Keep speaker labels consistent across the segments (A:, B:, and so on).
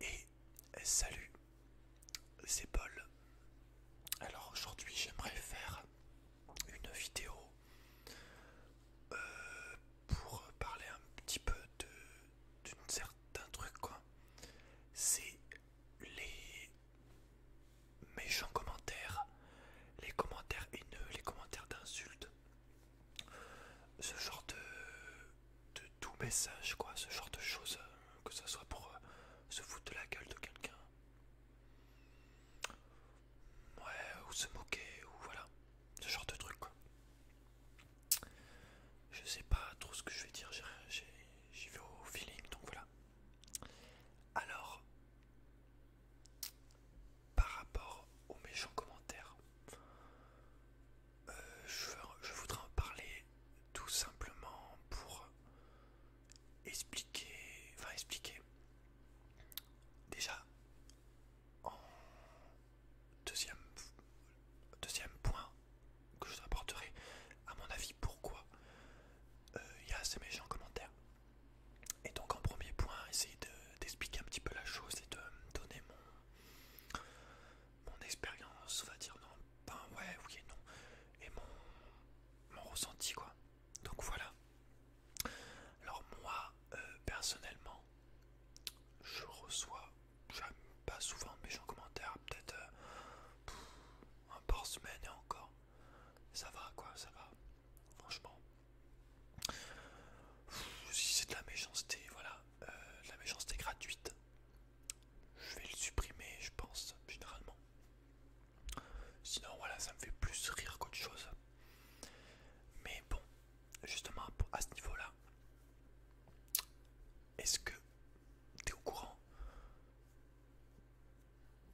A: Et euh, salut, c'est Paul. Alors aujourd'hui j'aimerais faire une vidéo euh, pour parler un petit peu d'un certain truc quoi. C'est les méchants commentaires, les commentaires haineux, les commentaires d'insultes ce genre de, doux message, quoi, ce genre de choses, euh, que ça soit pour euh, se foutre de la gueule de quelqu'un, ou se moquer, ou voilà, ce genre de truc, quoi. Je sais pas trop ce que je vais dire, j'y vais au feeling, donc voilà. Alors, par rapport aux méchants commentaires, euh, je, voudrais en parler tout simplement pour expliquer, enfin expliquer, déjà en deuxième, deuxième point que je apporterai à mon avis pourquoi euh, il y a ces méchants commentaires. Et donc en premier point, essayer d'expliquer un petit peu la chose et de donner mon mon expérience, on va dire non, pas ouais, oui et non, et mon, ressenti quoi. Donc voilà. Alors moi, euh, personnellement, je reçois, j'aime pas souvent méchants commentaires, peut-être euh, un par semaine et encore. Ça va quoi, ça va, franchement si c'est de la méchanceté, voilà, euh, la méchanceté gratuite, je vais le supprimer, je pense, généralement. Sinon, voilà, ça me fait plus rire qu'autre chose. Mais bon, justement, à ce niveau-là, est-ce que t'es au courant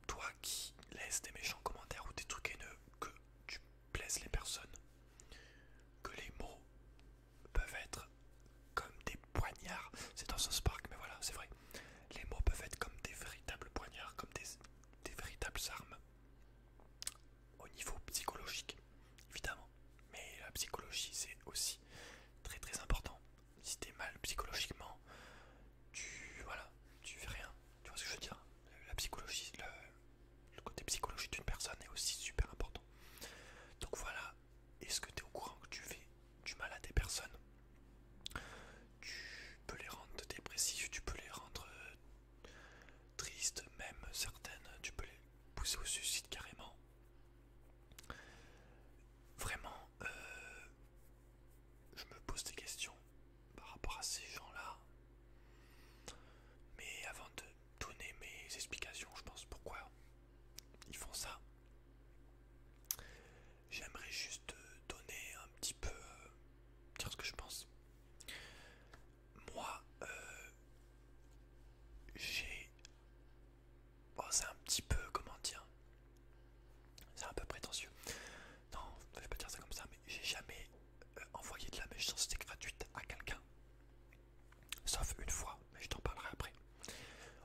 A: Toi qui laisses des méchants commentaires ou des trucs haineux que tu plaisent les personnes, que les mots peuvent être comme des poignards, c'est dans ce Spark, mais voilà, c'est vrai, les mots peuvent être comme des véritables poignards, comme des, véritables armes, au niveau psychologique, évidemment, mais la psychologie c'est aussi très très important, si t'es mal psychologiquement, tu, voilà, tu fais rien, tu vois ce que je veux dire, la psychologie, le, le côté psychologique d'une personne est aussi super important. Donc voilà, est-ce que tu es au courant que tu fais du mal à des personnes Tu peux les rendre dépressifs, tu peux les rendre euh, tristes, même certaines, tu peux les pousser au suicide carrément. Vraiment, euh, je me pose des questions par rapport à ces gens-là. Mais avant de donner mes explications, je pense, pourquoi ils font ça. J'aimerais juste donner un petit peu, euh, dire ce que je pense. Moi, euh, j'ai... c'est un petit peu, comment dire C'est un peu prétentieux. Non, je vais pas dire ça comme ça, mais j'ai jamais envoyer de la méchanceté gratuite à quelqu'un. Sauf une fois, mais je t'en parlerai après.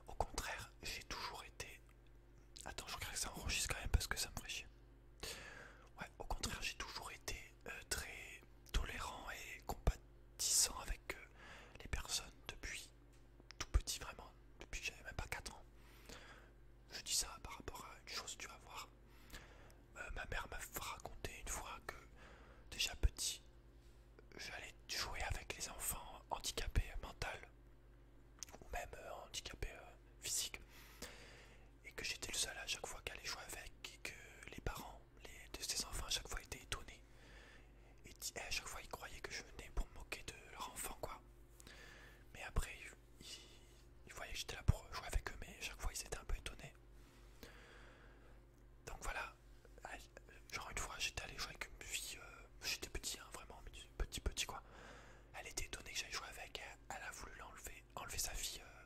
A: Au contraire, j'ai toujours été... Attends, je crois que ça enregistre quand même parce que ça me ferait chier. Ouais, au contraire, j'ai toujours été euh, très tolérant et compatissant avec euh, les personnes depuis tout petit, vraiment, depuis j'avais même pas 4 ans. Je dis ça par rapport à une chose, tu vas voir. Euh, ma mère m'a raconté une fois que déjà petit, j'allais jouer avec les enfants handicapés mental ou même euh, handicapés euh, physiques et que j'étais le seul à chaque fois qu'elle jouer avec et que les parents de ces enfants à chaque fois étaient étonnés et, eh, à chaque fois ils croyaient que je venais pour me moquer de leur enfant quoi mais après ils, ils voyaient que j'étais là pour jouer avec eux mais à chaque fois ils étaient un peu étonnés donc voilà, genre une fois j'étais allé jouer avec une fille, euh, j'étais petit hein, vraiment, petit petit quoi. Elle était étonnée que j'aille jouer avec, elle, a voulu l'enlever, enlever sa fille euh,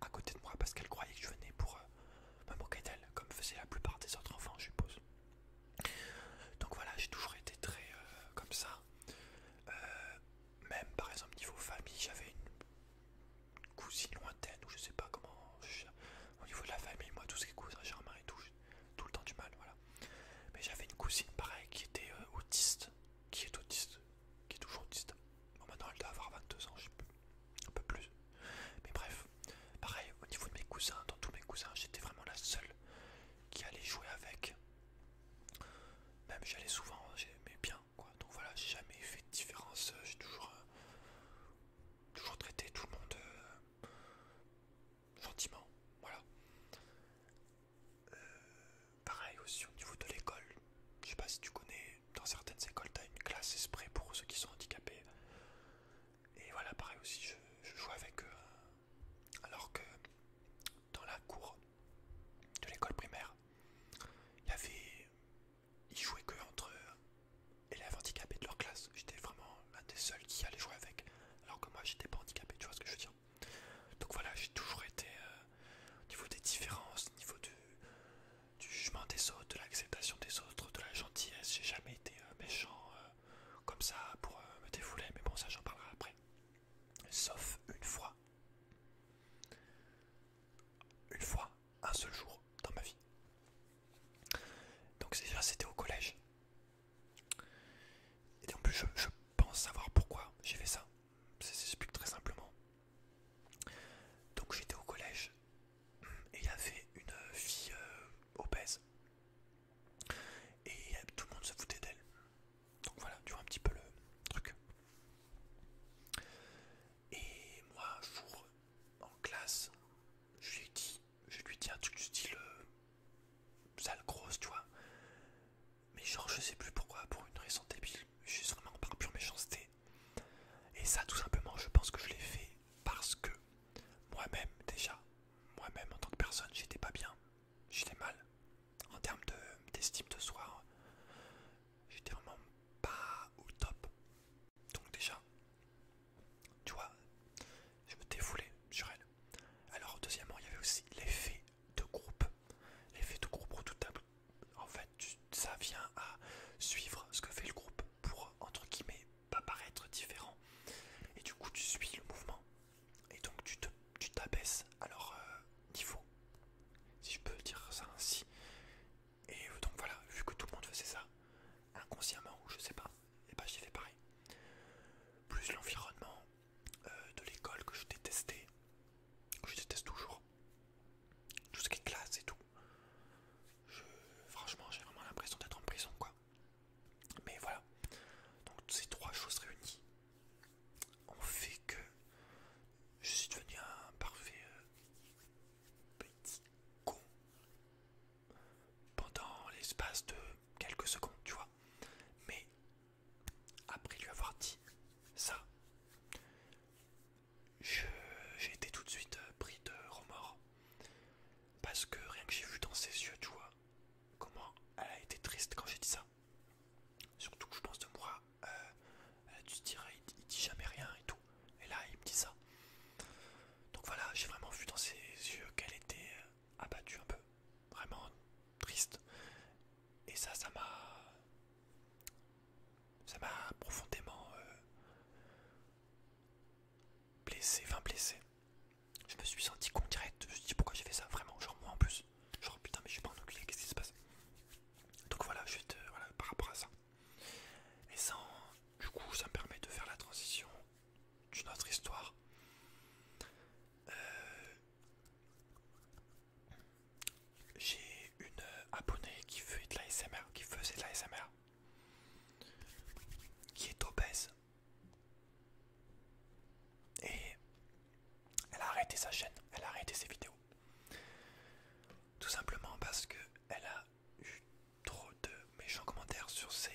A: à côté de moi parce qu'elle croyait que je venais pour euh, me moquer d'elle, comme faisaient la plupart des autres enfants je suppose. Donc voilà, j'ai toujours été très comme ça. même par exemple niveau famille, j'avais une cousine lointaine ou je sais pas comment. au niveau de la famille, moi, tout ce qui est cousin et tout, tout le temps du mal, voilà. Mais j'avais une cousine pareil qui était euh, autiste, qui est autiste, qui est toujours autiste. maintenant elle doit avoir 22 ans, je sais plus, un peu plus. Mais bref, pareil, au niveau de mes cousins, dans tous mes cousins, j'étais vraiment la seule qui allait jouer avec. Même j'allais souvent, mais bien donc voilà, j'ai jamais fait de différence, euh, j'ai toujours, euh, toujours traité tout le monde euh, gentiment, voilà. pareil aussi au niveau de l'école, je sais pas si tu connais, dans certaines écoles t'as une classe esprit pour ceux qui sont handicapés. Et voilà, pareil aussi, je, je joue avec eux, alors que dans la cour de l'école primaire, il y avait ils jouaient que entre élèves handicapés de leur classe. J'étais vraiment l'un des seuls qui allait jouer avec, alors que moi j'étais pas handicapé, tu vois ce que je veux dire. Donc voilà, j'ai toujours été euh, au niveau des différences, au niveau du, jugement des autres, de l'acceptation des autres, de la gentillesse. J'ai jamais été euh, méchant euh, comme ça pour me défouler, mais bon, ça j'en parlerai après. Sauf une fois une fois, un seul jour dans ma vie. Donc déjà c'était au collège. Et en plus je, pense savoir pourquoi j'ai fait ça. Ça s'explique très simplement. Donc j'étais au collège et il y avait une fille euh, obèse. Et tout le monde se foutait d'elle. Donc voilà, tu vois un petit peu le truc. Et moi, un jour, en classe, je lui ai dit, je lui dis un truc du style euh, sale grosse, tu vois. Mais genre, je sais plus pourquoi, pour une raison débile, je suis vraiment par pure méchanceté. Et ça, tout simplement, je pense que je l'ai fait parce que moi-même, déjà, moi-même en tant que personne, j'étais pas bien, j'étais mal en termes d'estime de soi j'étais vraiment pas au top. Donc déjà, tu vois, je me défoulais sur elle. Alors deuxièmement, il y avait aussi l'effet de groupe. L'effet de groupe table En fait, ça vient à suivre ce que fait le groupe pour, entre guillemets, pas paraître différent. Et du coup, tu suis le mouvement. Et donc, tu t'abaisses tu à leur niveau. Si je peux dire ça ainsi. Et euh, donc voilà, vu que tout le monde faisait ça, inconsciemment ou je sais pas, et eh bah ben, j'ai fait pareil. Plus l'environnement euh, de l'école que je détestais, que je déteste toujours, tout ce qui est classe et tout. franchement, j'ai vraiment l'impression d'être en prison quoi. Mais voilà, donc ces trois choses réunies ont fait que je suis devenu un parfait euh, Petit con. Pendant l'espace de quelques secondes, tu vois. Mais après lui avoir dit ça, j'ai été tout de suite euh, pris de remords. Parce que rien que j'ai vu dans ses yeux, tu vois, comment elle a été triste quand j'ai dit ça. Surtout que je pense de moi elle euh, euh, tu te dirais, il, il dit jamais rien et tout. Et là, il me dit ça. Donc voilà, j'ai vraiment vu dans ses yeux qu'elle était euh, abattue un peu, vraiment triste. Et ça, ça m'a. Ça m'a profondément. blessé, enfin blessé. Je me suis senti con direct. Je me dis, pourquoi j'ai fait ça, vraiment. Genre moi en plus. Genre putain, mais je suis pas en qu'est-ce qui se passe donc voilà, je te, euh, voilà, par rapport à ça. Et ça, du coup, ça me permet de faire la transition d'une autre histoire. Euh, j'ai une abonnée qui fait de la SMR, qui faisait de la SMR, qui est obèse. Et elle a arrêté sa chaîne, elle a arrêté ses vidéos. Tout simplement parce que elle a eu trop de méchants commentaires sur ses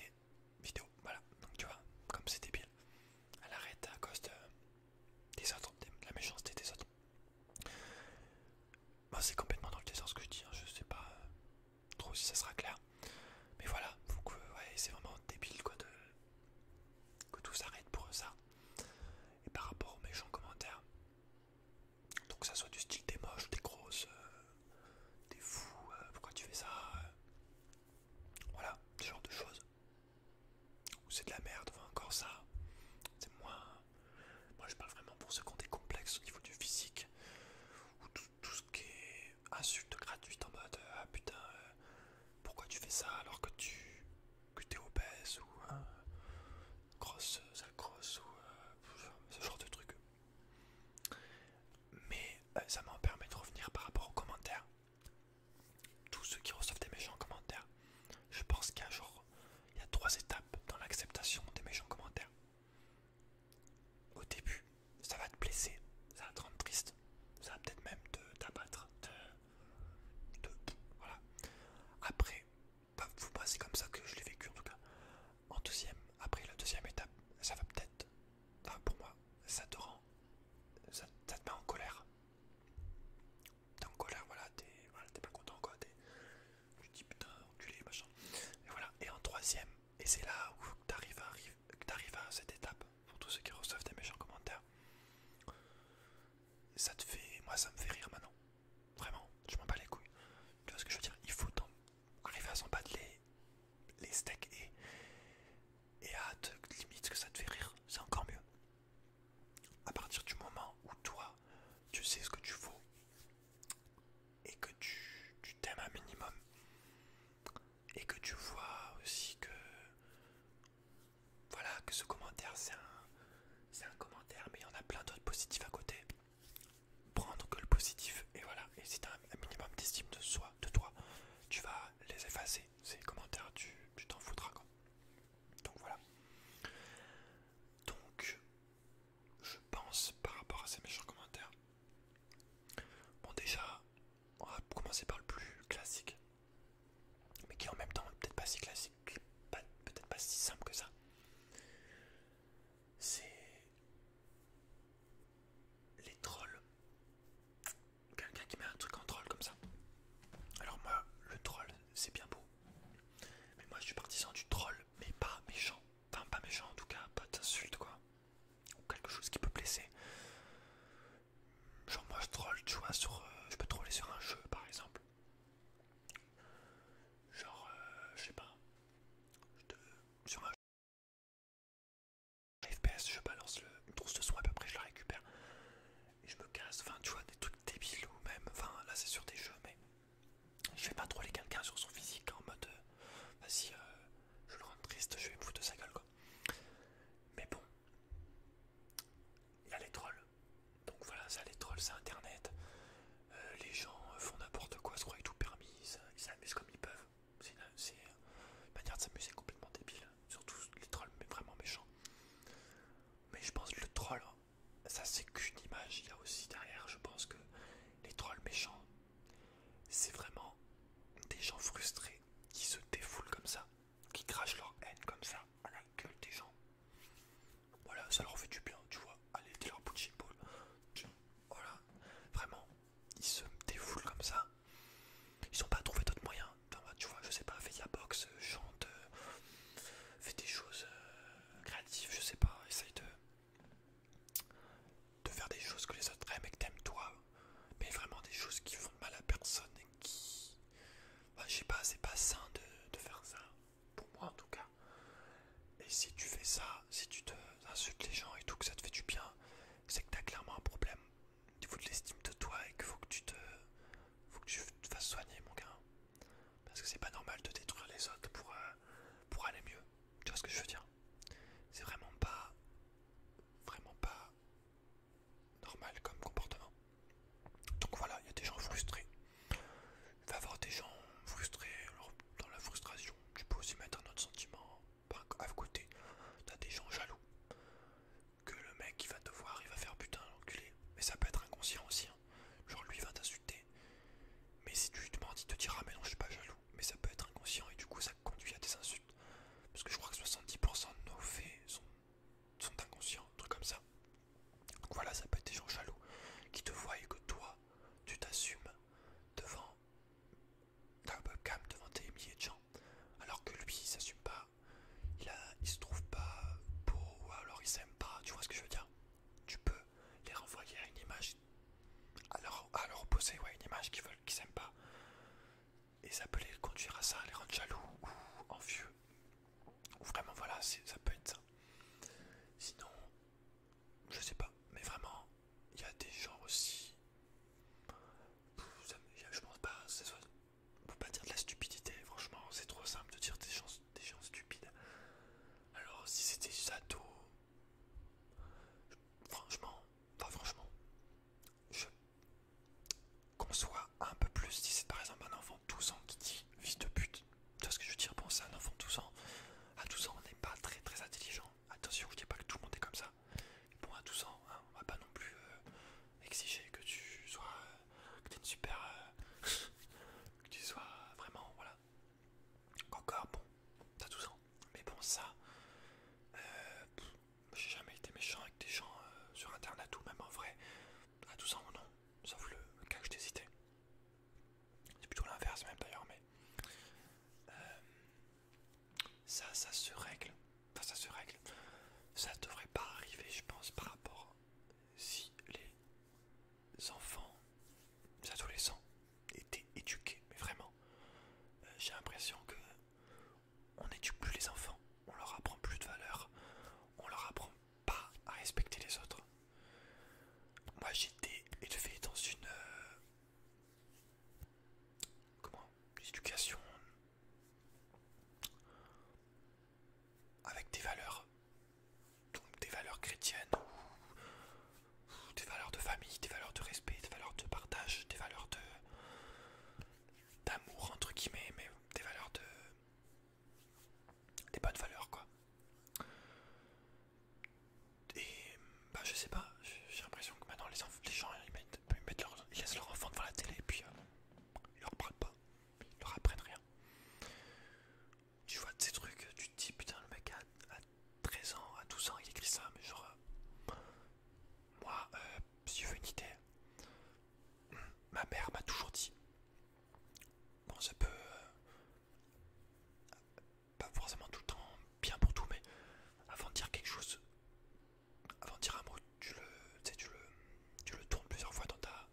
A: vidéos. Voilà, donc tu vois, comme c'est débile, elle arrête à cause de, des autres, la méchanceté des autres. Moi, c'est complètement dans le désordre ce que je dis, hein. je sais pas euh, trop si ça sera clair. Mais voilà, c'est vraiment débile quoi de que tout s'arrête pour ça. Et par rapport aux méchants commentaires, donc, ça soit du style des moches, des grosses, euh, des fous, euh, pourquoi tu fais ça euh, Voilà, ce genre de choses. Ou c'est de la merde, ou encore ça. C'est moins. Moi, je parle vraiment pour ceux qui ont des complexes au niveau du physique, ou tout, ce qui est insulte gratuite en mode Ah putain, pourquoi tu fais ça alors que tu que es obèse ou euh, grosse, sale grosse ou euh, ce genre de truc. Mais euh, ça m'en permet de revenir par rapport aux commentaires. Tous ceux qui reçoivent des méchants commentaires, je pense qu'il y a genre il y a trois étapes dans l'acceptation des méchants commentaires. Au début, ça va te blesser, ça va te rendre triste, ça va peut-être même te t'abattre, Voilà. Après, vous bah, c'est comme ça que je l'ai vécu en tout cas. En deuxième, après la deuxième étape, ça va peut-être, pour moi, ça te rend, ça, te met en colère. T'es en colère, voilà, t'es pas content quoi, tu dis putain, enculé, machin. Et voilà, et en troisième, et c'est là où t'arrives à, à cette étape, pour tous ceux qui reçoivent des méchants commentaires. Ça te fait, moi ça me fait rire maintenant. Vraiment, je m'en bats les couilles. Tu vois ce que je veux dire Il faut arriver à s'en les, les steaks et, et à te limite que ça te fait rire, c'est encore mieux. À partir du moment où toi, tu sais ce que tu veux et que tu t'aimes un minimum et que tu vois aussi que voilà que ce commentaire c'est un, commentaire mais il y en a plein d'autres positifs à côté prendre que le positif et voilà et si t'as un, minimum d'estime de soi de toi tu vas les effacer ces commentaires tu t'en foutras quoi donc voilà donc je pense par rapport à ces méchants commentaires bon déjà on va commencer par le plus classique mais qui en même temps peut-être pas si classique, peut-être pas si simple que ça. C'est les trolls. Quelqu'un qui met un truc en troll comme ça. Alors moi, le troll, c'est bien beau. Mais moi, je suis partisan du troll, mais pas méchant. Enfin, pas méchant en tout cas, pas d'insulte quoi. Ou quelque chose qui peut blesser. Genre moi, je troll, tu vois, sur, euh, je peux troller sur un jeu par exemple. Genre, euh, je sais pas, sur ma FPS, je balance le trousse de son à peu après je la récupère et je me casse. Enfin, tu vois, des trucs débiles ou même, enfin là c'est sur des jeux, mais je vais pas troller quelqu'un sur son physique en mode euh, vas-y, euh, je le rends triste, je vais me foutre de sa gueule quoi. Mais bon, il a les drôles. Donc voilà, ça les trolls c'est internet. Euh, les gens euh, font n'importe quoi, se croient tout permis, ils s'amusent comme ils peuvent. C'est une, manière de s'amuser complètement débile. Surtout les trolls mais vraiment méchants. Mais je pense que le troll, hein, ça c'est qu'une image, il y a aussi derrière, je pense que les trolls méchants, c'est vraiment des gens frustrés qui se défoulent comme ça qui crachent leur haine comme ça à la gueule des gens. Voilà, ça leur fait du bien, tu vois. Allez, de leur tu vois, Voilà, vraiment, ils se défoulent comme ça. Ils n'ont pas trouvé d'autres moyens. Bah, tu vois, je sais pas, fais la box euh, chante, fait euh, fais des choses euh, créatives, je sais pas, essaye de, de faire des choses que les autres aiment et que t'aimes toi, mais vraiment des choses qui font mal à personne bah, je sais pas, c'est pas sain de, faire ça, pour moi en tout cas. Et si tu fais ça, si tu te insultes les gens et tout, que ça te fait du bien, c'est que t'as clairement un problème au niveau de l'estime de toi et qu'il faut que tu te. Faut que tu te fasses soigner, mon gars. Parce que c'est pas normal de détruire les autres pour, euh, pour aller mieux. Tu vois ce que je veux dire C'est vraiment pas. Vraiment pas normal comme comportement. Donc voilà, il y a des gens frustrés. Il va avoir des gens frustrés. dans la frustration, tu peux aussi mettre un autre sentiment à côté. T'as des gens jaloux. Que le mec qui va te voir, il va faire putain d'enculé. Mais ça peut être inconscient aussi. Hein. Genre lui il va t'insulter. Mais si tu lui demandes, il te dira mais non je suis pas jaloux. Mais ça peut être inconscient et du coup ça conduit à des insultes. Parce que je crois que 70% de nos faits sont sont inconscients, un truc comme ça. Donc voilà, ça peut être des gens jaloux qui te voient et que toi, tu t'assumes devant ta webcam, devant tes milliers de gens, alors que lui, il s'assume pas, il, a, se trouve pas beau alors il s'aime pas, tu vois ce que je veux dire Tu peux les renvoyer à une image, à leur, poser ouais, une image qu'ils veulent, qu'ils s'aiment pas. Et ça peut les conduire à ça, les rendre jaloux ou envieux Vraiment voilà, ça peut être ça. Sinon, je sais pas, mais vraiment, il y a des gens aussi. je pense pas, ça soit, pas dire de la stupidité, franchement, c'est trop simple de dire des gens, des gens stupides. Alors, si c'était Sato, franchement, pas franchement, je, qu'on soit un peu plus, si c'est par exemple un enfant de 12 ans qui dit fils de pute, tu vois ce que je veux dire, Bon, c'est un enfant de 12 ans, à 12 ans on n'est pas très très intelligent, attention je dis pas que tout le monde est comme ça, bon à 12 ans hein, on va pas non plus euh, exiger que tu sois, euh, que tu une super, euh, que tu sois vraiment, voilà, encore bon, à 12 ans, mais bon ça, j'ai jamais été méchant avec des gens sur internet ou même en vrai, à 12 ans non, sauf le, cas que je t'hésitais. C'est plutôt l'inverse même d'ailleurs, mais euh, ça, ça se règle. Enfin, ça se règle. Ça devrait pas arriver, je pense, par rapport si les enfants, les adolescents étaient éduqués. Mais vraiment, euh, j'ai l'impression que on n'éduque plus les enfants. On leur apprend plus de valeur. On leur apprend pas à respecter les autres. Moi j'étais élevé dans une... Euh, comment L'éducation avec des valeurs. Donc des valeurs chrétiennes ou des valeurs de famille, des valeurs de respect, des valeurs de partage, des valeurs de d'amour entre guillemets, mais des valeurs de des bonnes valeurs quoi. Et bah je sais pas, j'ai l'impression que maintenant les, gens ils leur, laissent leur enfant devant la télé et puis euh, ils leur parlent pas, ils leur apprennent rien. Tu vois ces trucs, tu te dis putain le mec à 13 ans, à 12 ans il écrit ça, mais genre euh, moi euh, si je veux une idée, ma mère m'a toujours dit Bon, ça peut... Euh, pas forcément tout le temps bien pour tout, mais avant de dire quelque chose, avant de dire un mot, tu le, tu, le, tu le tournes plusieurs fois dans ta...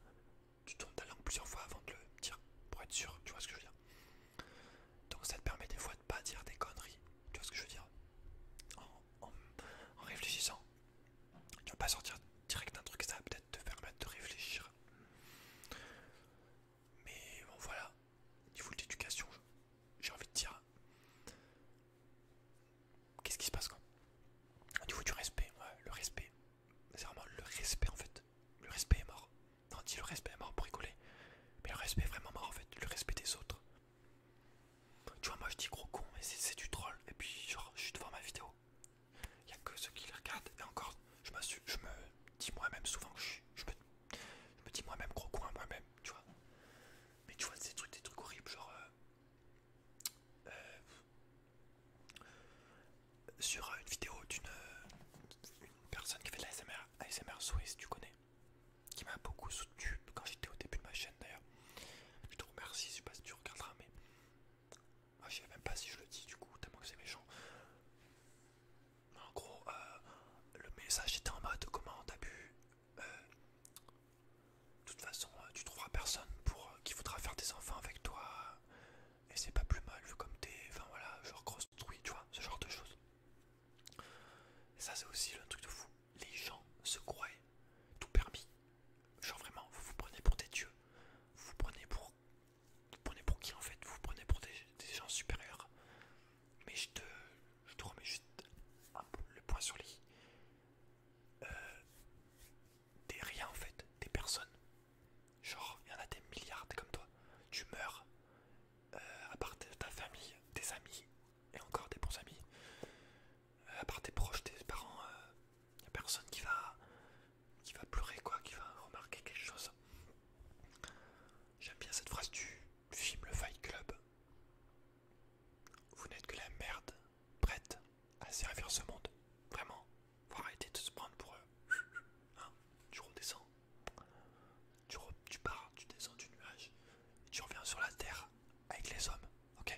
A: Tu tournes ta langue plusieurs fois avant de le dire, pour être sûr, tu vois ce que je veux dire. Donc ça te permet des fois de pas dire des conneries, tu vois ce que je veux dire. en réfléchissant, tu vas pas sortir direct d'un truc, ça va peut-être te permettre de réfléchir. Mais bon, voilà, niveau de l'éducation, j'ai envie de dire. Qu'est-ce qui se passe quand Au niveau du respect, ouais, le respect, c'est vraiment le respect en fait. Le respect est mort. Non, dit le respect est mort pour rigoler. Mais le respect est vraiment mort en fait, le respect des autres. Tu vois, moi je dis gros con, mais c'est du troll. Et puis, genre, je suis devant ma vidéo. Il n'y a que ceux qui les regardent. Et encore, je me, je me dis moi-même souvent je Je me, dis moi-même gros coin, moi-même, tu vois. Mais tu vois, ces des trucs horribles, genre. Euh, euh, sur euh, une vidéo d'une personne qui fait de la ASMR, ASMR Swiss, tu connais, qui m'a beaucoup soutenu quand j'étais au début de ma chaîne d'ailleurs. Je te remercie, je sais pas si tu regarderas, mais ah, je sais même pas si je le dis du coup, tellement que c'est méchant. en gros, euh, le message était en mode comment t'as bu. Euh, de toute façon, euh, tu trouveras personne pour qui voudra faire des enfants avec toi. Et c'est pas plus mal vu comme t'es. Enfin voilà, genre grosse truie, tu vois, ce genre de choses. ça, c'est aussi le truc de fou. Les gens se croient tout permis. Genre vraiment, vous vous prenez pour des dieux, vous vous prenez pour, prenez pour qui en fait, vous vous prenez pour des, gens supérieurs. Mais je te, je te remets juste le point sur l'I. Euh, des rien en fait, des personnes. Genre, il y en a des milliards comme toi. Tu meurs, euh, à part ta famille, tes amis, et encore des bons amis. Euh, à part tes proches, tes parents, il euh, a personne qui va, qui va pleurer, quoi, qui va remarquer quelque chose. J'aime bien cette phrase du film Le Fight Club. Vous n'êtes que la merde prête à servir ce monde. Vraiment, faut arrêter de se prendre pour eux. Hein, tu redescends, tu, pars, tu descends du nuage, tu reviens sur la terre avec les hommes, ok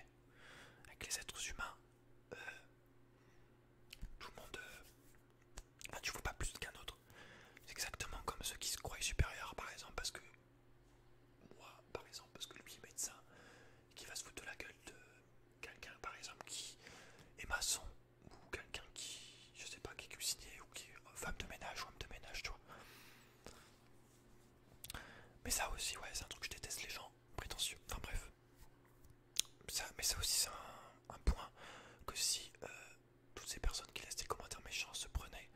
A: Avec les êtres humains euh, tout le monde euh, Enfin, tu vois pas plus qu'un autre. C'est exactement comme ceux qui se croient supérieurs par exemple parce que moi par exemple parce que lui est médecin et qui va se foutre de la gueule de quelqu'un par exemple qui est maçon ou quelqu'un qui je sais pas qui est cuisinier ou qui euh, femme de ménage ou homme de ménage tu vois. Mais ça aussi ouais c'est un truc que je déteste les gens prétentieux. Enfin bref. Ça, mais ça aussi, c'est un, point que si euh, toutes ces personnes qui laissent des commentaires méchants se prenaient,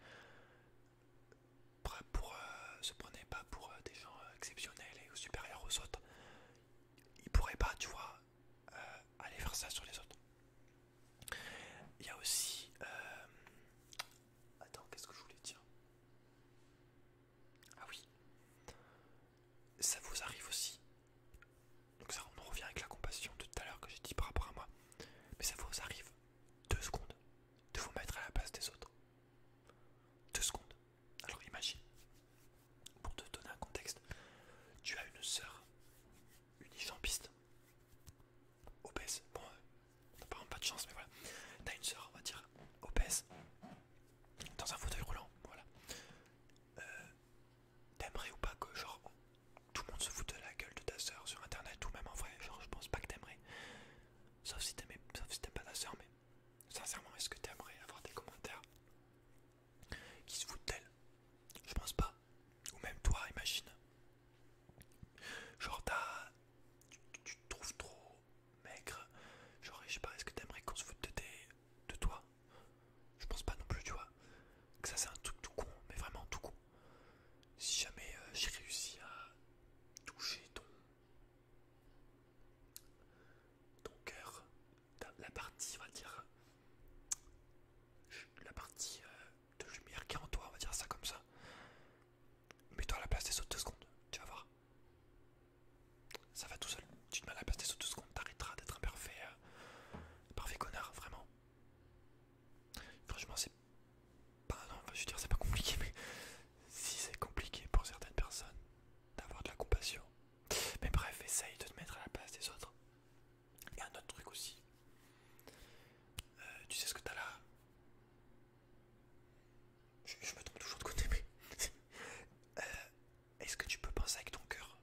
A: pour, euh, se pas pour euh, des gens exceptionnels et supérieurs aux autres, ils pourraient pas, tu vois, aller faire ça sur les autres. Il y a aussi. Attends, qu'est-ce que je voulais dire ah oui. Ça vous arrive aussi. Donc ça, on revient avec la compassion de tout à l'heure que j'ai dit par rapport à moi. Mais ça vous arrive deux secondes de vous mettre à la place des autres. Deux secondes. Alors imagine, pour te donner un contexte, tu as une sœur, unijambiste, obèse. Bon, on euh, n'a pas pas de chance, mais voilà. T'as une sœur, on va dire, obèse, dans un fauteuil roulant, voilà. Euh, t'aimerais ou pas que genre tout le monde se foute de la gueule de ta sœur sur internet ou même en vrai, genre je pense pas que t'aimerais. Sauf si t'aimes si pas ta sœur, mais sincèrement, est-ce que t'aimerais avoir des commentaires qui se foutent d'elle Je pense pas. Ou même toi, imagine. Genre, tu, tu te trouves trop maigre. Genre, je sais pas, est-ce que t'aimerais qu'on se foute de, de toi Je pense pas non plus, tu vois. Que ça, c'est un truc tout con, mais vraiment tout con. Si jamais euh, j'ai réussi à toucher ton, ton cœur, la partie, on va dire, la partie euh, de lumière qui est en toi, on va dire ça comme ça. Mets-toi à la place des autres deux secondes, tu vas voir. Ça va tout seul. Tu te mets à la place des autres deux secondes, t'arrêteras d'être un parfait, euh, connard, vraiment. Franchement, c'est pas, je dire, c'est pas compliqué, mais si c'est compliqué pour certaines personnes d'avoir de la compassion, mais bref, essaye de te mettre à la place des autres. Et un autre truc aussi, euh, tu sais ce que t'as là je, me trompe toujours de côté, mais. Euh, est-ce que tu peux penser avec ton cœur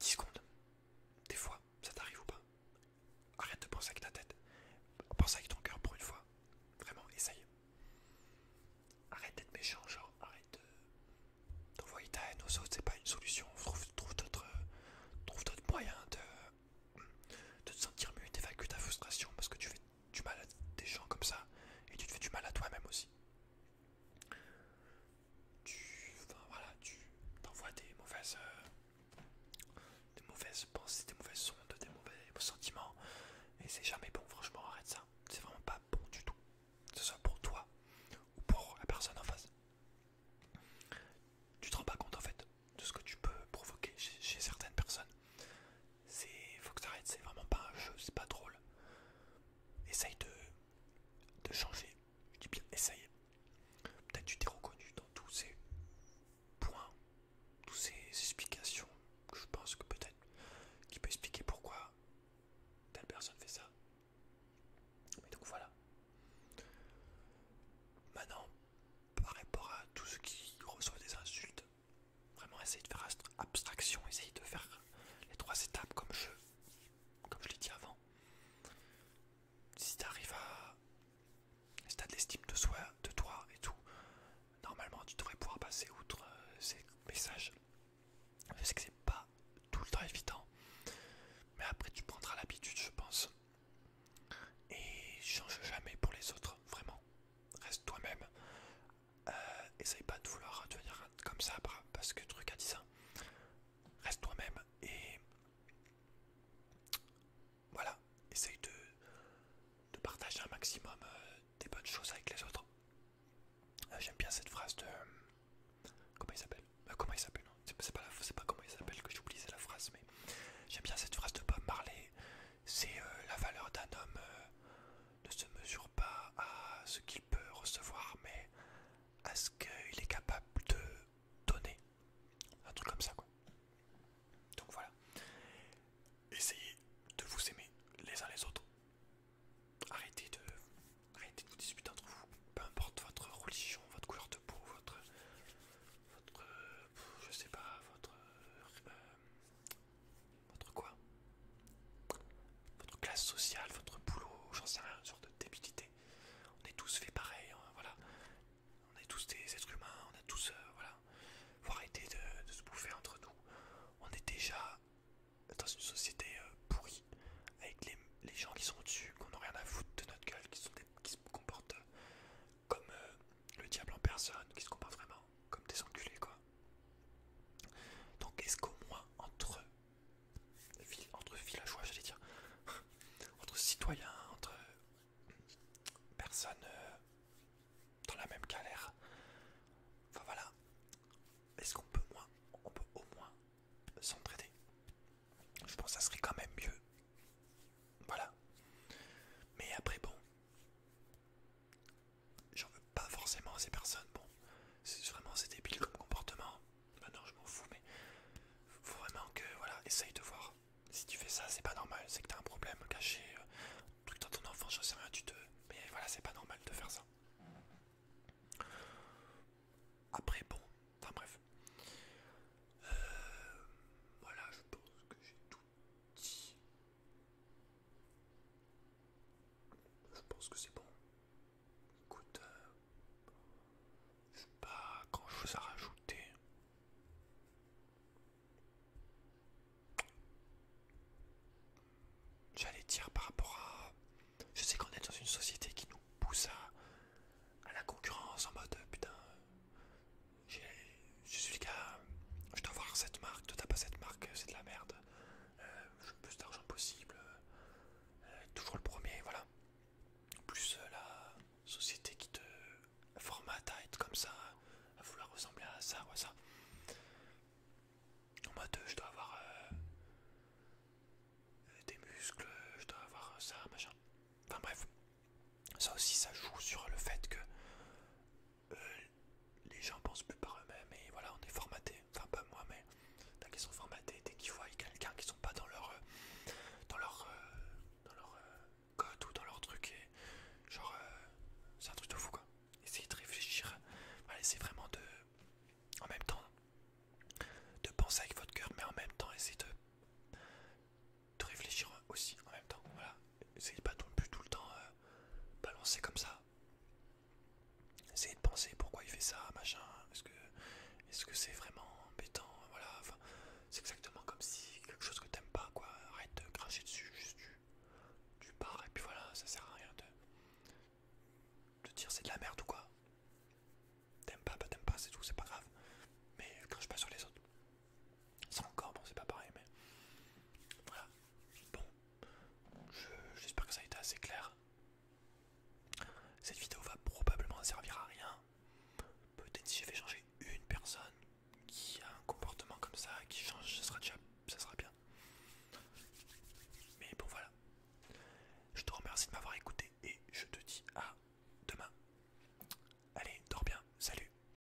A: 10 secondes Des fois, ça t'arrive ou pas Arrête de penser avec ta tête. Pense avec ton cœur pour une fois. Vraiment, essaye. Arrête d'être méchant, genre, arrête d'envoyer ta haine aux autres, c'est pas une solution. Trouve, d'autres moyens de, de te sentir mieux, d'évacuer ta frustration parce que tu fais du mal à des gens comme ça et tu te fais du mal à toi-même aussi. Tu, t'envoies des mauvaises, euh, mauvaises pensées, des mauvaises ondes, des mauvais sentiments et c'est jamais bon. Franchement, arrête ça. C'est vraiment pas bon du tout. Que ce soit pour toi ou pour la personne en face. Tu te rends pas compte en fait de ce que tu peux provoquer chez certaines personnes. C'est. Faut que t'arrêtes, c'est vraiment pas un jeu, c'est pas drôle. Essaye de, de changer. Je dis bien, essaye. Peut-être tu t'es reconnu dans tous ces points, toutes ces explications que je pense que peut-être qui peut expliquer pourquoi telle personne fait ça. donc voilà. Maintenant, par rapport à tous ceux qui reçoivent des insultes, Vraiment essaye de faire abstraction, essaye de faire les trois étapes comme je, comme je l'ai dit avant. Si tu arrives à... Si as de l'estime de, soi, de toi et tout, normalement tu devrais pouvoir passer outre euh, ces messages. Je sais que c'est pas tout le temps évident, mais après tu prendras l'habitude je pense. Et change jamais pour les autres, vraiment reste toi-même. Euh, essaye pas de vouloir devenir comme ça parce que truc a dit ça. Reste toi-même et voilà, essaye de, partager un maximum euh, des bonnes choses avec les autres. Euh, j'aime bien cette phrase de. comment il s'appelle Comment il s'appelle C'est pas, pas, comment il s'appelle que j'oublie, c'est la phrase, mais j'aime bien cette phrase de Bob Marley c'est euh, la valeur d'un homme euh, ne se mesure pas à ce qu'il peut recevoir, mais à ce qu'il est capable de donner. Un truc comme ça, quoi. Donc voilà. Essayez de vous aimer les uns les autres. Arrêtez de, arrêtez de vous disputer entre vous. Peu importe votre religion, votre couleur de peau, votre, euh, je sais pas, votre votre quoi Votre classe sociale, votre boulot, j'en sais rien, une sorte de débilité. On est tous fait pareil, hein, voilà. On est tous des êtres humains, on a tous, euh, voilà. Faut arrêter de, se bouffer entre nous. On est déjà dans une société euh, pourrie, avec les, gens qui sont au-dessus, qu'on n'a rien à foutre de notre gueule, qui, sont qui se comportent comme euh, le diable en personne, qui se comporte vraiment comme des enculés, quoi. Donc, est-ce qu'au moins entre, entre villageois, j'allais dire, entre citoyens, entre personnes euh, dans la même galère, enfin voilà, est-ce qu'on peut, moins, on peut au moins s'entraider Je pense que ça serait quand même mieux. Voilà. Mais après, bon, J'en veux pas forcément ces personnes. Bon, c'est vraiment c'est débile comme comportement. Maintenant, je m'en fous, mais vraiment que voilà, essaye de voir. Si tu fais ça, c'est pas normal. C'est que t'as un problème caché, euh, truc dans ton enfant, je sais rien, tu te. Mais voilà, c'est pas normal de faire ça. Après, bon, enfin bref. Euh, voilà, je pense que j'ai tout je pense que c'est bon. Écoute, euh, je sais pas grand chose à rajouter. J'allais dire par rapport à. Je sais qu'on est dans une société qui nous pousse à la concurrence en mode putain, je suis le gars, je dois avoir cette marque, de pas cette marque, c'est de la merde. Euh, plus d'argent possible. Euh, toujours le premier, voilà. Plus euh, la société qui te formate à être comme ça, à vouloir ressembler à ça ou à ça. En mode, je dois avoir des muscles, je dois avoir ça, machin. Enfin bref, ça aussi, ça joue sur le fait que euh, les gens pensent plus par eux-mêmes et voilà, on est formaté. Enfin, pas moi, mais dès qu'ils sont formatés, dès qu'ils voient quelqu'un qui sont pas dans leur, euh, dans leur, euh, dans leur code ou dans leur truc, et genre, c'est un truc de fou quoi. essayez de réfléchir, essayez vraiment de, en même temps, de penser avec votre cœur, mais en même temps, essayez de de réfléchir aussi en même temps. Voilà, essayez pas non plus tout le temps euh, balancer comme ça. Essayez de penser pourquoi il fait ça, machin. Est-ce que est-ce que c'est vraiment embêtant Voilà, enfin, c'est exactement comme si quelque chose que t'aimes pas, quoi. Arrête de cracher dessus, juste tu, pars et puis voilà, ça sert à rien de, de dire c'est de la merde ou quoi. T'aimes pas, bah t'aimes pas, c'est tout, c'est pas grave. Mais crache pas sur les autres. Ça encore, bon, c'est pas pareil, mais voilà. Bon, j'espère que ça a été assez clair. Cette vidéo va probablement servir à rien. Peut-être si j'ai fait changer une personne qui a un comportement comme ça, qui change, ce sera ça sera bien. Mais bon, voilà. Je te remercie de m'avoir écouté et je te dis à demain. Allez, dors bien, salut